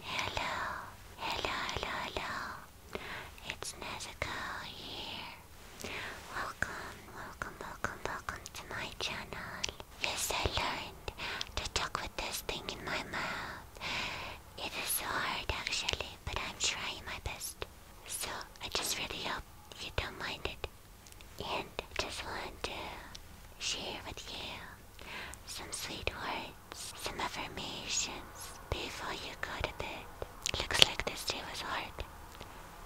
hello, hello, hello, hello. It's Nezuko here. Welcome, welcome, welcome, welcome to my channel. Yes, I learned to talk with this thing in my mouth. It is so hard actually, but I'm trying my best. So I just really hope you don't mind it. And I just want to share with you some sweet words, some affirmations before you go to bed. Looks like this day was hard.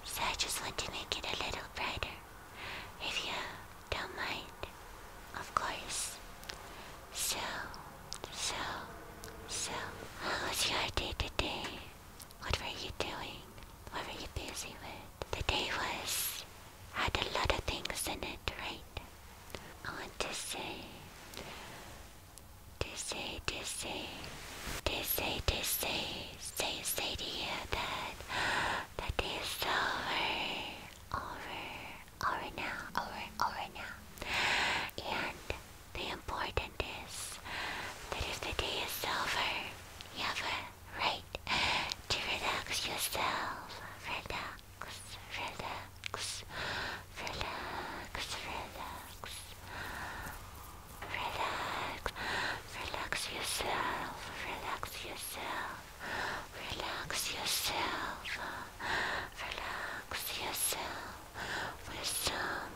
So I just want to make it a little brighter. If you don't mind. Of course. So, so, so, how was your day today? What were you doing? What were you busy with? The day was, had a lot of things in it, right? I want to say, to say, to say, to say, to say, say, say to you that, that day is over over, over now, over, over now. And the important is that if the day is over, you have a right to relax yourself. Relax, relax, relax, relax. Relax, relax yourself, relax yourself. Relax yourself. Relax yourself with some,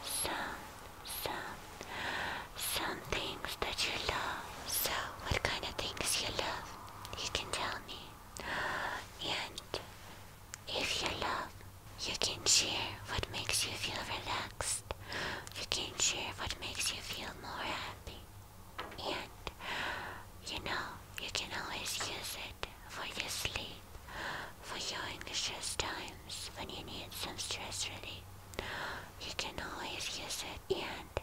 some, some, some things that you love. So, what kind of things you love? You can tell me. And if you love, you can share what makes you feel relaxed. You can share what makes you feel more happy and you know you can always use it for your sleep, for your anxious times when you need some stress relief. You can always use it, and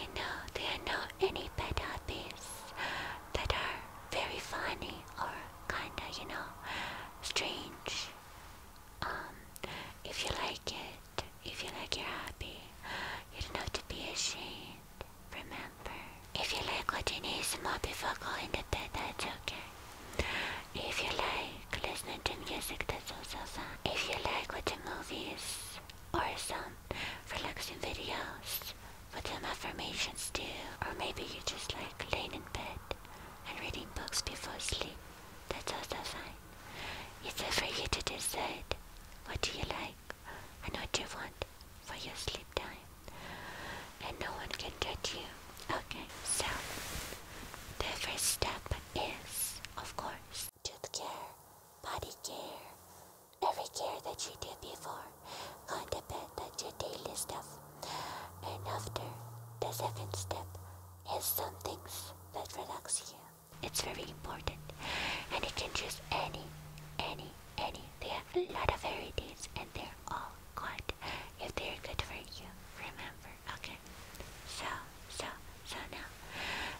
you know there are no any bad habits that are very funny or kinda you know strange. Um, if you like it, if You like you're happy. You don't have to be ashamed. Remember. If you like what you need, some more before going to bed, that's okay. If you like listening to music, that's also fun. If you like watching movies or some relaxing videos, what them affirmations do, or maybe you just like laying in bed and reading books before sleep, that's also fine. It's for you to decide what do you like and what you want for your sleep time. And no one can judge you. Okay, so the first step is, of course, tooth care, body care, every care that you did before, on the bed, that's your daily stuff. And after, the second step is some things that relax you. It's very important. And you can choose any, any, any. They have a lot of varieties and they're all good if they're good for you. Remember, okay? So, so, so now.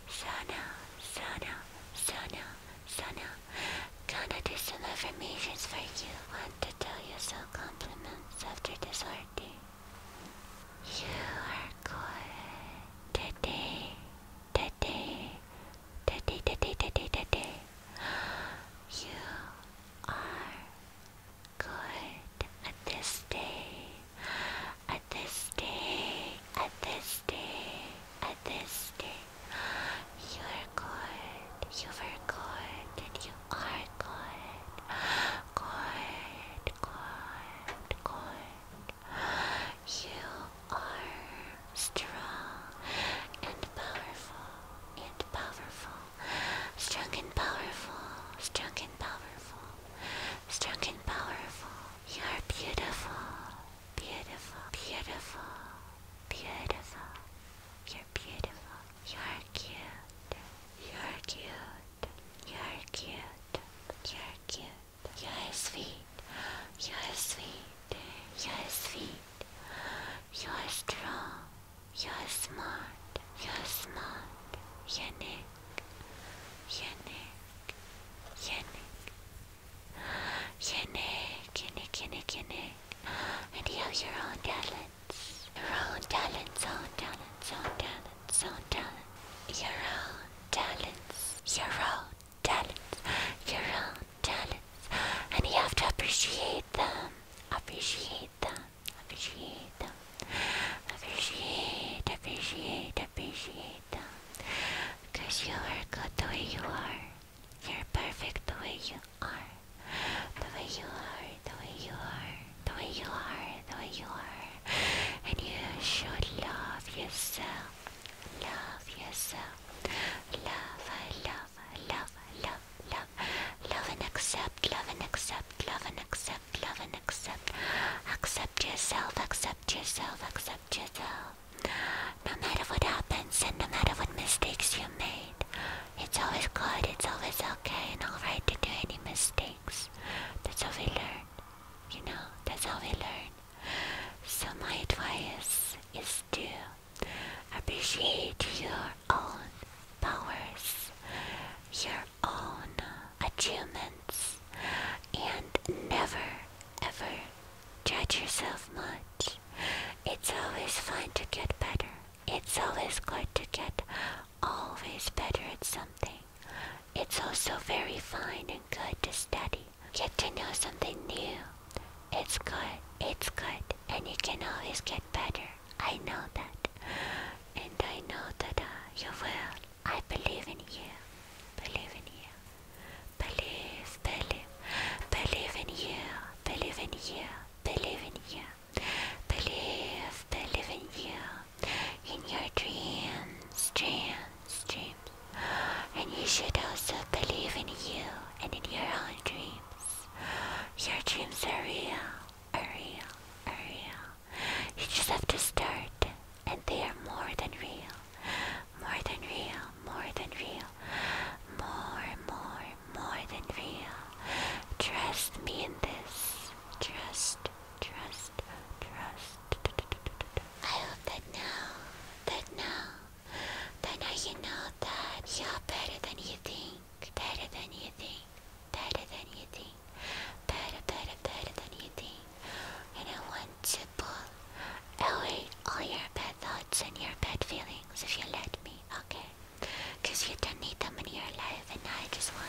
So now, so now, so now, so now. Gonna do some affirmations for you. Want to tell you some compliments after this art day. You are good. Today Daddy, Daddy, Daddy, Daddy, Daddy, you are good at this day, at this day, at this day, at this day. You are good, you are good, and you are good, good, good, good. You are strong and powerful and powerful. Strong and powerful. Strong and powerful. Strong and powerful. You are beautiful. Beautiful. Beautiful. Beautiful. You're beautiful. You're cute. You're cute. You're cute. You're cute. You're sweet. You're sweet. You're sweet. You're strong. You're smart. You're smart. You're You're Yannick. You're Yannick. You're Yannick. And you have your own talents. Your own talents. Own talents. Own talents so talent, your own talents, your own talents, your own talents, and you have to appreciate them, appreciate them, appreciate them, appreciate, appreciate, appreciate them, because you are good the way you are, you're perfect the way you are, the way you are, the way you are, the way you are the way you are. And you should love yourself. Love yourself. Love, love, love, love, love. Love and accept, love and accept, love and accept, love and accept. Accept yourself, accept yourself, accept yourself. No matter what happens and no matter what mistakes you made, it's always good, it's always okay and alright to do any mistakes. That's how we learn. You know, that's how we learn. So my advice is to appreciate your own powers, your own achievements, and never ever judge yourself much. It's always fun to get better. It's always good to get always better at something. It's also very fine and good to study. Get to know something new. It's good, it's good, and you can always get better. I know that. And I know that uh, you will. I believe in you. Believe in you. Believe, believe. Believe in you. Believe in you. Believe in you. Believe, believe in you in your dreams, dreams, dreams. And you should also believe in you and in your own dreams. Your dreams are real, are real, are real. You just have to start, and they are more than real. More than real, more than real. More, more, more than real. Trust me in this. Trust Trust, trust. I hope that now, that now, that now you know that you're better than you think, better than you think, better than you think, better, better, better than you think. And I want to pull away all your bad thoughts and your bad feelings if you let me, okay? Because you don't need them in your life, and I just want.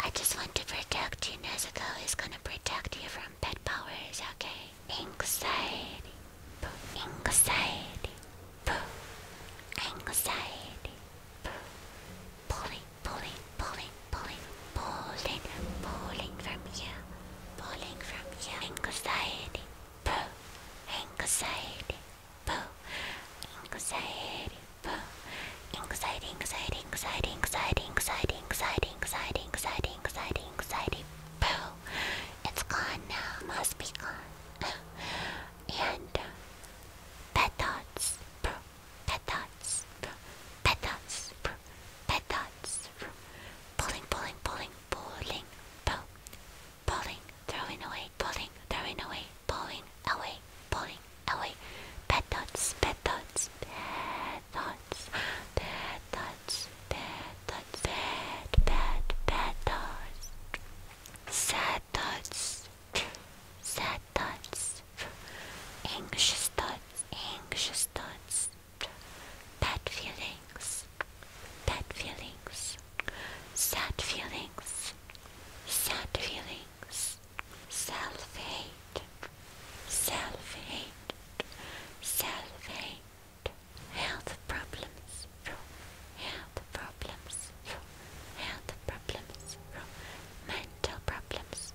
I just want to protect you. Nezuko is gonna protect you from pet powers, okay? Anxiety. Boo. Anxiety. Boo. Anxiety. Boo. Pulling, pulling, pulling, pulling, pulling, pulling from here. Pulling from here. Anxiety. Boo. Anxiety. Boo. Anxiety anxiety, anxiety, anxiety, anxiety, anxiety, anxiety, anxiety, anxiety, anxiety, anxiety. Boo! It's gone now. Must be gone. and uh, pet thoughts. Pet thoughts. Pet thoughts. Pet thoughts. Pulling, pulling, pulling, pulling. Boo! Pulling, throwing away, pulling, throwing away, pulling away, pulling Oh wait, bad thoughts, bad thoughts, bad thoughts, bad thoughts, bad thoughts, bad, bad, bad thoughts, sad thoughts, sad thoughts, anxious thoughts, anxious thoughts, bad feelings, bad feelings, sad feelings, sad feelings. Self-hate, self-hate, self-hate, health problems, health problems, health problems, mental problems,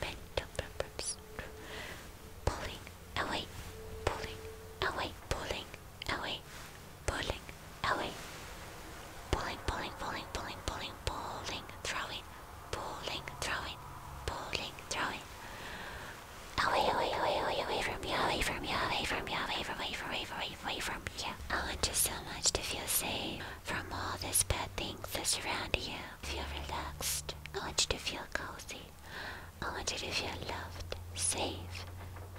mental problems, pulling away, pulling away, pulling away, pulling away, pulling, pulling, pulling, pulling, pulling, pulling, throwing pulling, throwing, pulling, throwing. Away, away, away, away, away from you, away from you, away from you, away from you, away from you, away from you. I want you so much to feel safe from all these bad things that surround you. Feel relaxed. I want you to feel cozy. I want you to feel loved, safe,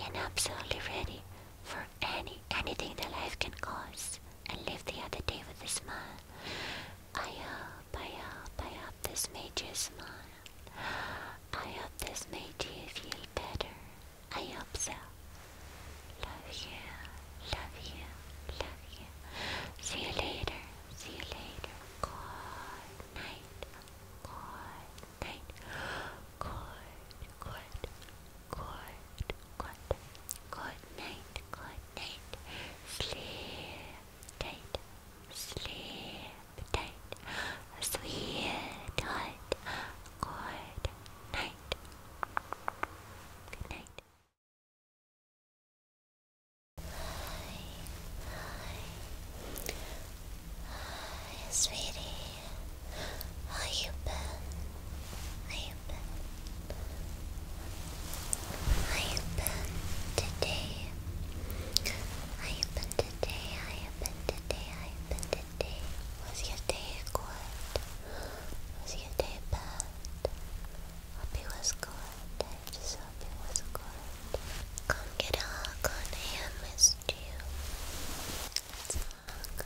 and absolutely ready for any anything that life can cause and live the other day with a smile. I hope, I hope, I hope this made you smile. I hope this made you feel better. I hope so. Love you, love you, love you. See you later, see you later. Good night, good night, good, good good, good, good night, good night. Sleep tight, sleep tight, sweetheart. Good night, good night. Hi, hi, hi, sweetie. How you been? Are you I open today. I open today. I open today. I open today. Was your day good? Was your day bad? Hope it was good. I just hope it was good. Come get a hug on him, missed you. Let's hug.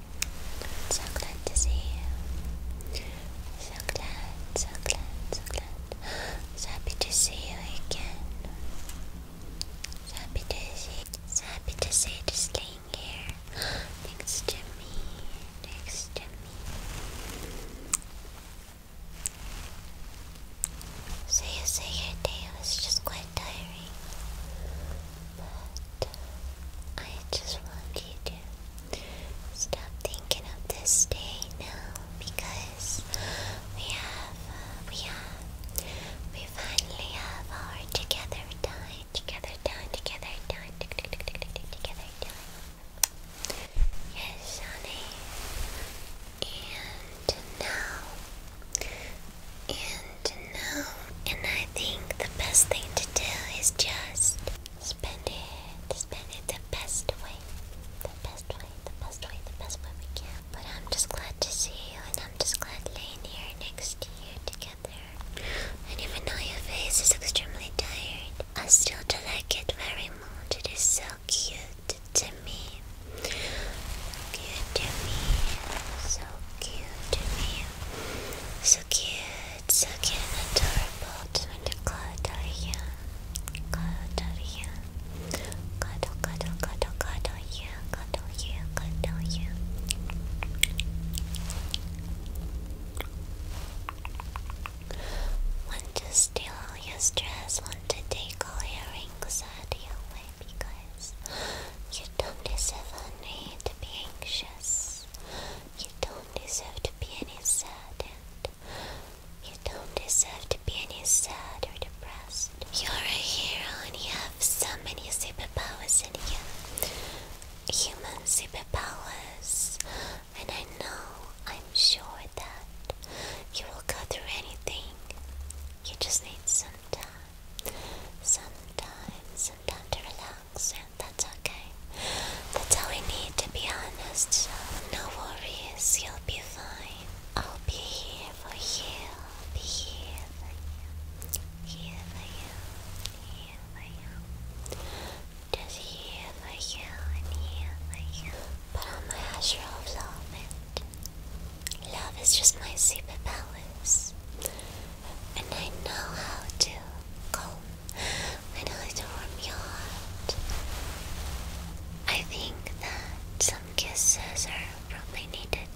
So glad to see you. So glad, so glad, so glad. So happy to see you again. So happy to see so happy to see you staying here next to me. Next to me. So say your day was just quite tiring. I just want you to stop thinking of this day now because we have, uh, we have, we finally have our together time, together time, together time, together time. Yes, honey. And now, and to And I think the best thing to do is just spend it, spend it the best way, the best way, the best way, the best way we can. But I'm just glad to see you, and I'm just glad laying here next to you together. And even though your face is extremely tired, I still do like it very much. It is so cute to me. Cute to me. So cute to me. So so cute, so cute and adorable. Trying to cuddle you, cuddle you, cuddle, cuddle, cuddle, cuddle you, cuddle you, cuddle you. Want to steal your stress? Want to take all your rings out your way because you don't deserve any to be anxious. You don't deserve to be any sad, you don't deserve to be any sad or depressed. You're a hero and you have so many superpowers in you. Human superpowers. And I know, I'm sure that you will go through anything. You just need some time. Some time, some time to relax that's okay. That's all we need, to be honest, so no worries, you'll be fine. I'll be here for you, here for you, here for you, here for you. Just here for you, here for you. Put on my Azure Love is just my super and I know how to calm. I warm your heart. I think that some kisses are probably needed.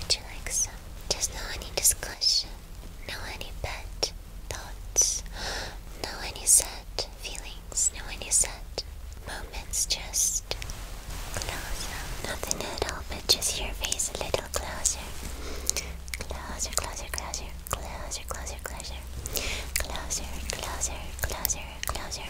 Would you like some? Just no any discussion, no any pet thoughts, no any set feelings, no any set moments. Just close up. Nothing at all, but just your face a little closer. Closer, closer, closer, closer, closer, closer, closer, closer, closer,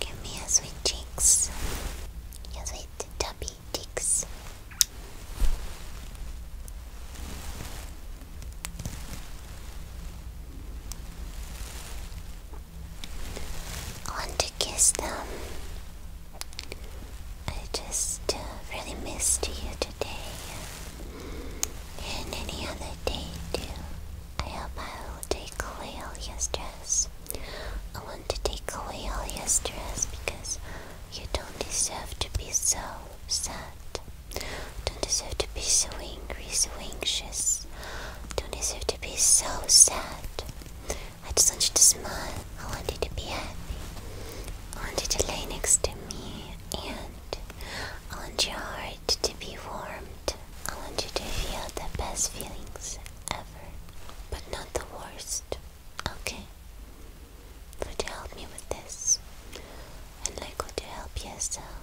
Give me your sweet cheeks, your sweet tubby ticks. want to kiss them. I just uh, really missed you today and any other day too. I hope I will take away all your stress to take away all your stress because you don't deserve to be so sad. Don't deserve to be so angry, so anxious. Don't deserve to be so sad. I just want you to smile. I want you to be happy. I want you to lay next to me and I want your heart to be warmed. I want you to feel the best feelings ever, but not the worst. Okay. Could you help me with this? And like, could you help yourself?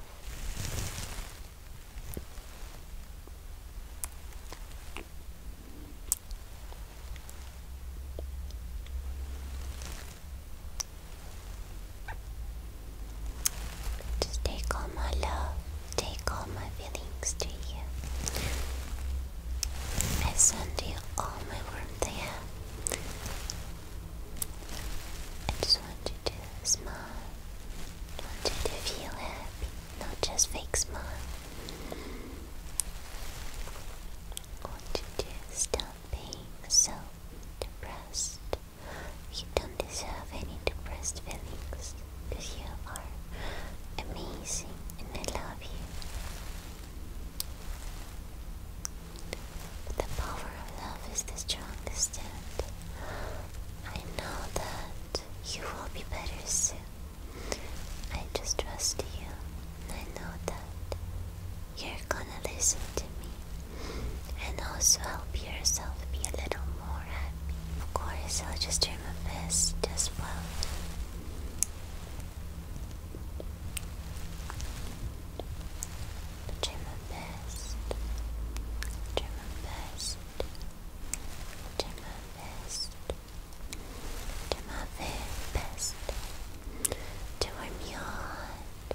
Just take all my love, take all my feelings to you. I send you all my warmth there. I just want you to smile. want you to feel happy, not just fake smile. want you to stop being so depressed. You don't deserve any depressed feelings you are amazing and I love you the power of love is the strongest, and I know that you will be better soon. I just trust you, and I know that you're gonna listen to me and also help yourself be a little more happy. Of course, I'll just try my best as well. Try my best. Try my best. Try my best. Do my very best to warm your heart,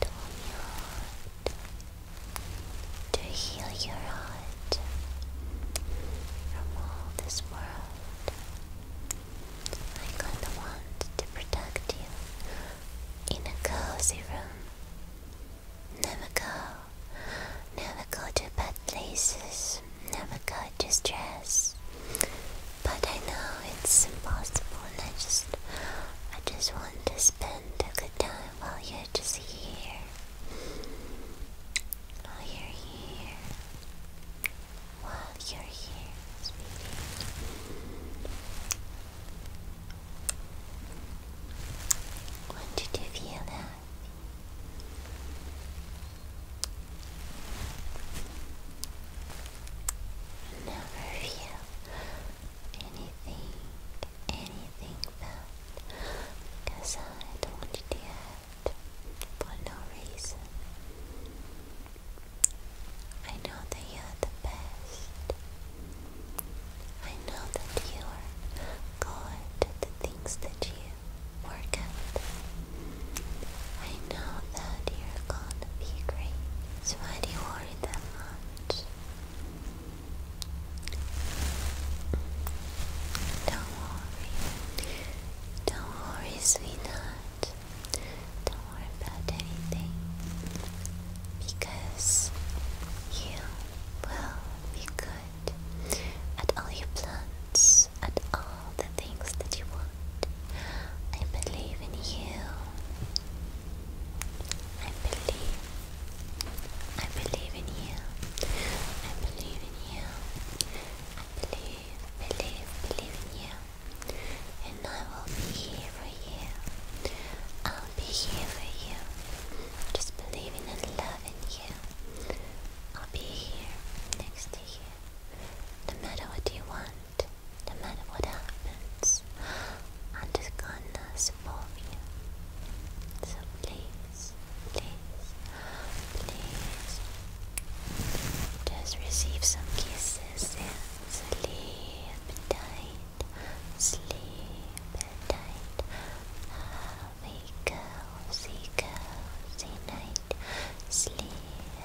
to warm your heart, to heal your heart from all this world. I kinda want to protect you in a cozy room. Never go, never go to bad places, never go to stress. But I know it's impossible, and I just, I just want to spend a good time while you're just here. While you're here while you're here, sweetie. When feel that? Never feel anything, anything bad I don't want to for no reason. I know that you are the best. I know that you are good at the things that you work at. I know that you're gonna be great. So why do you worry that much? Don't worry. Don't worry, sweetheart. Don't worry about anything. Because you will be good at all your plans, at all the things that you want. I believe in you. I believe. I believe in you. I believe in you believe, believe, believe in you. And I will be here for you. I'll be here for you. Just believing and loving you. I'll be here next to you. No matter what you want, no matter what happens, I'm just gonna support you. So please please, please. Just receive some kisses and sleep tight, sleep tight. Have a cozy, cozy night. Sleep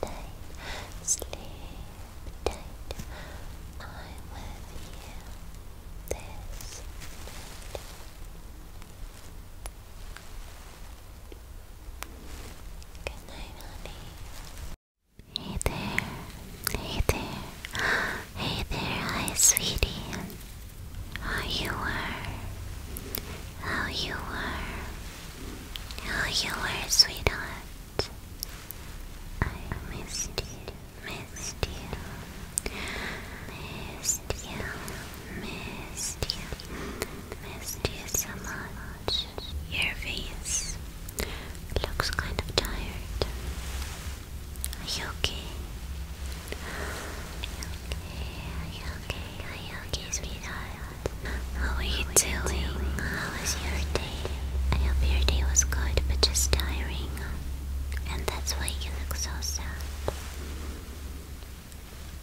tight, sleep tight. I'm with you this night. Good night, honey. Hey there, hey there, hey there, hi sweetie. How you were, how you were, how you were, sweetheart. I missed you, missed you, missed you missed you. Missed you so much. Your face looks kind of tired. Are you okay? Are you okay? Are you okay? sweetheart? How are you doing? How was your day? I hope your day was good, but just tiring. And that's why you look so sad.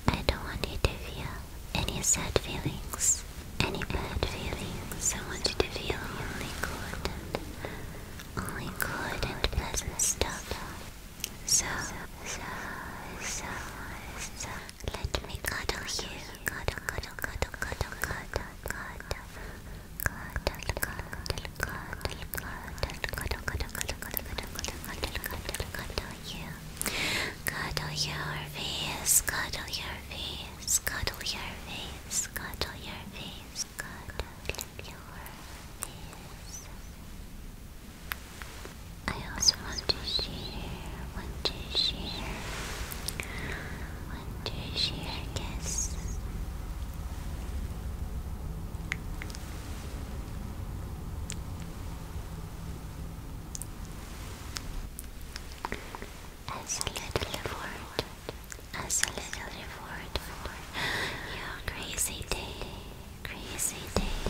I don't want you to feel any sad feelings, any bad feelings. I want you to feel only good and only good and pleasant stuff. So, so, so, so, let me cuddle you. Cuddle, cuddle, cuddle, cuddle, cuddle, cuddle, cuddle, cuddle, cuddle, cuddle, cuddle you. Cuddle your face, cuddle your face, cuddle your face, cuddle your face, cuddle your face. I also want to share, want to share, want to share, guess. As a little reward, as a little reward for your crazy day, crazy day,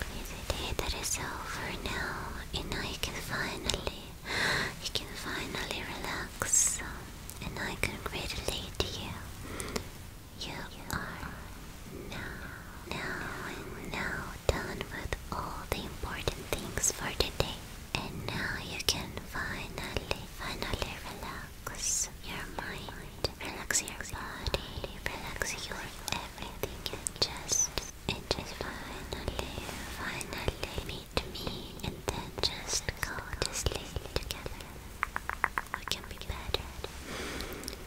crazy day that is over now, and I can finally, you can finally relax, and I can congratulate you you are now, now, now done with all the important things for today. And now you can finally, finally relax your mind, relax your body, relax your everything, and just, and just finally, finally meet me, and then just go to sleep together. What can be better?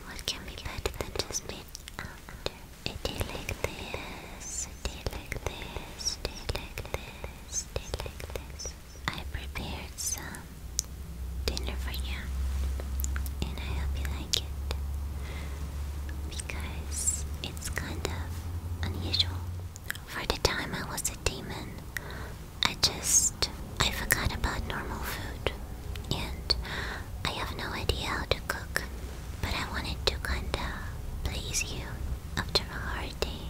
What can be better than just being after? A like this, a like this, a like this, a like this. I prepared some dinner for you, and I hope you like it because it's kind of unusual. For the time I was a demon, I just. I forgot about normal food. And I have no idea how to cook. But I wanted to kinda please you after a hard day.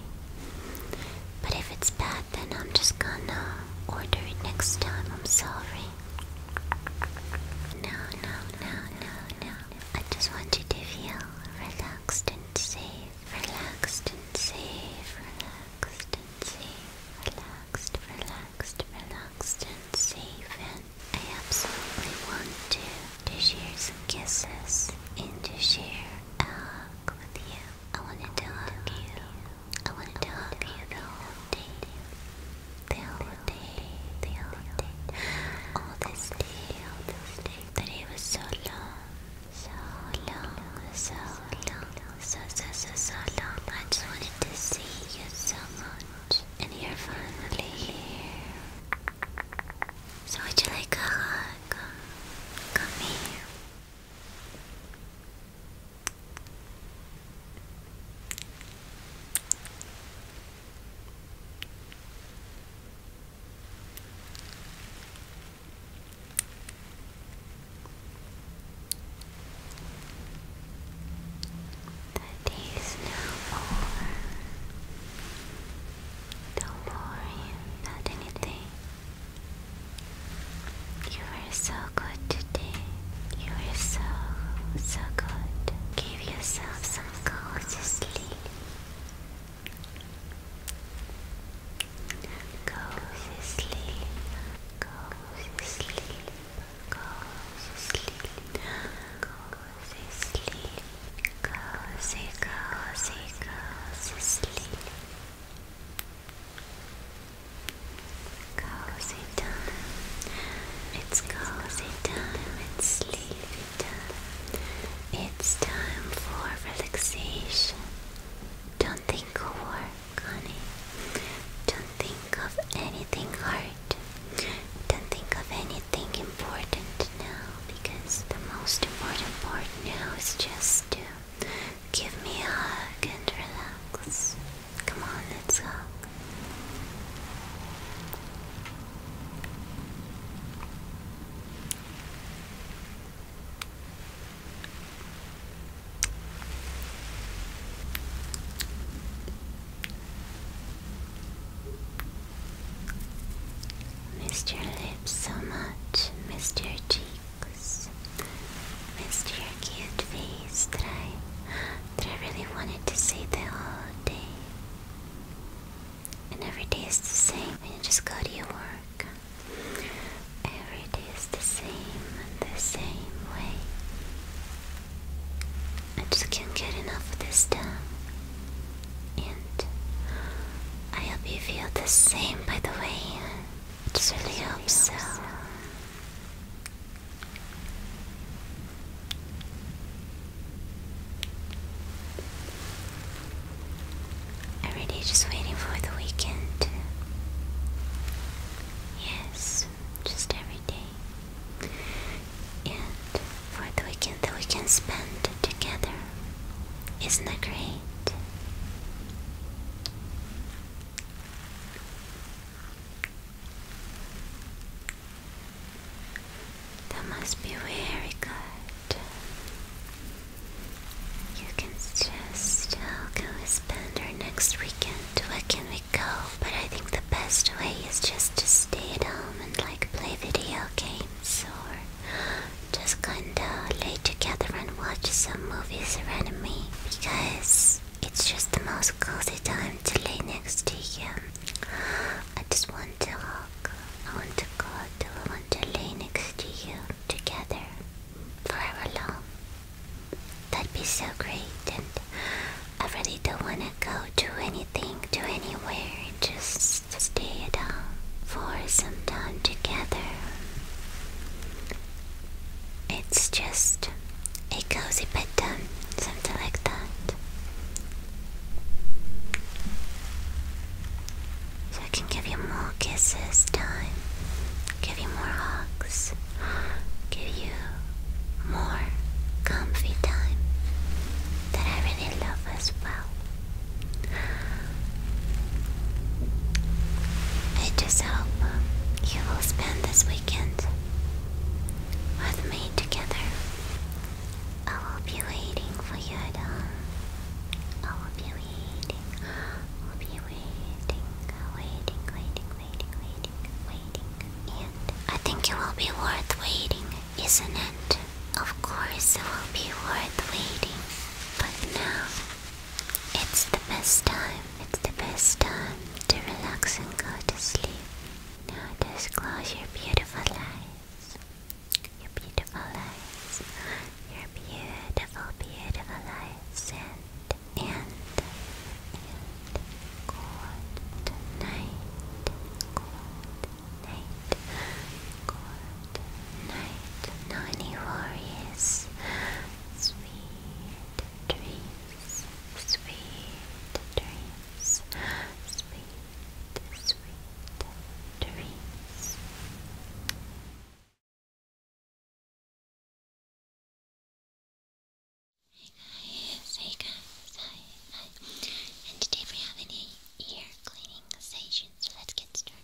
But if it's bad, then I'm just gonna order it next time. I'm sorry. No, no, no, no, no. I just want you to feel relaxed and safe. Relaxed and safe. Relaxed see relaxed, relaxed, relaxed and safe and I absolutely want to, to share some kisses and to share a hug with you. I wanted to hug you. I wanted to hug you the whole day. The whole day. The whole day. All this day. All this day. That it was so long. So long. So long so, so, so, so long. I just wanted to see you so much. And you're finally here. So would you like a hug? Come here. The day is now over. Don't worry about anything. You were so good today. You were so, so good. Give yourself some cozy sleep. Cozy sleep, cozy sleep, cozy sleep, cozy sleep, cozy, cozy, cozy sleep. Cozy time, it's cozy time, it's sleepy time. It's time for relaxation. Don't think over Connie. Don't think of anything hard. Don't think of anything important now because the most important part now is just to give me a hug and relax. Come on, let's hug. Missed your lips so much, missed your cheeks, missed your cute face that I, that I really wanted to see the whole day. And every day is the same, and you just go to your work. Every day is the same and the same way. I just can't get enough of this town. And I hope you feel the same, by the way. I just really hope so. Every day just waiting for the weekend. Yes, just every day. And for the weekend that we can spend together. Isn't that great? That must be very good. You can just i uh, go spend our next weekend. Where can we go? But I think the best way is just to stay at home and like play video games or just kinda lay together and watch some movies around me because it's just the most cozy time to lay next to you. I just want to hug. I want to cuddle. I want to lay next to you together forever long. That'd be so great, and I really don't want to go to anything, to anywhere, just stay at home for some time together. It's just a cozy bed, bedtime, something like that. So I can give you more kisses time. Give you more hugs. Give you more comfy time that I really love as well. I just hope you will spend this weekend with me together. I will be waiting for you at I will be waiting. I will be I think it will be worth waiting, isn't it? Of course it will be worth waiting. But now, it's the best time. It's the best time to relax and go to sleep. Now just close your beautiful eyes. Your beautiful eyes your beautiful, beautiful eyes. Send and, and good night, good night, good night. No any worries. Sweet dreams, sweet dreams, sweet, sweet dreams guys, hey guys, hi, hi. And today we have an ear cleaning session, so let's get started.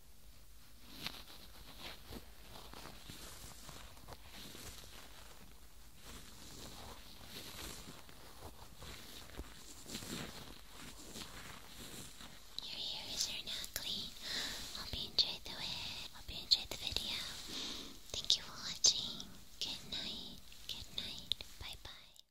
Your ears are not clean. Hope you enjoyed the video. Thank you for watching. Good night. Good night. Bye bye.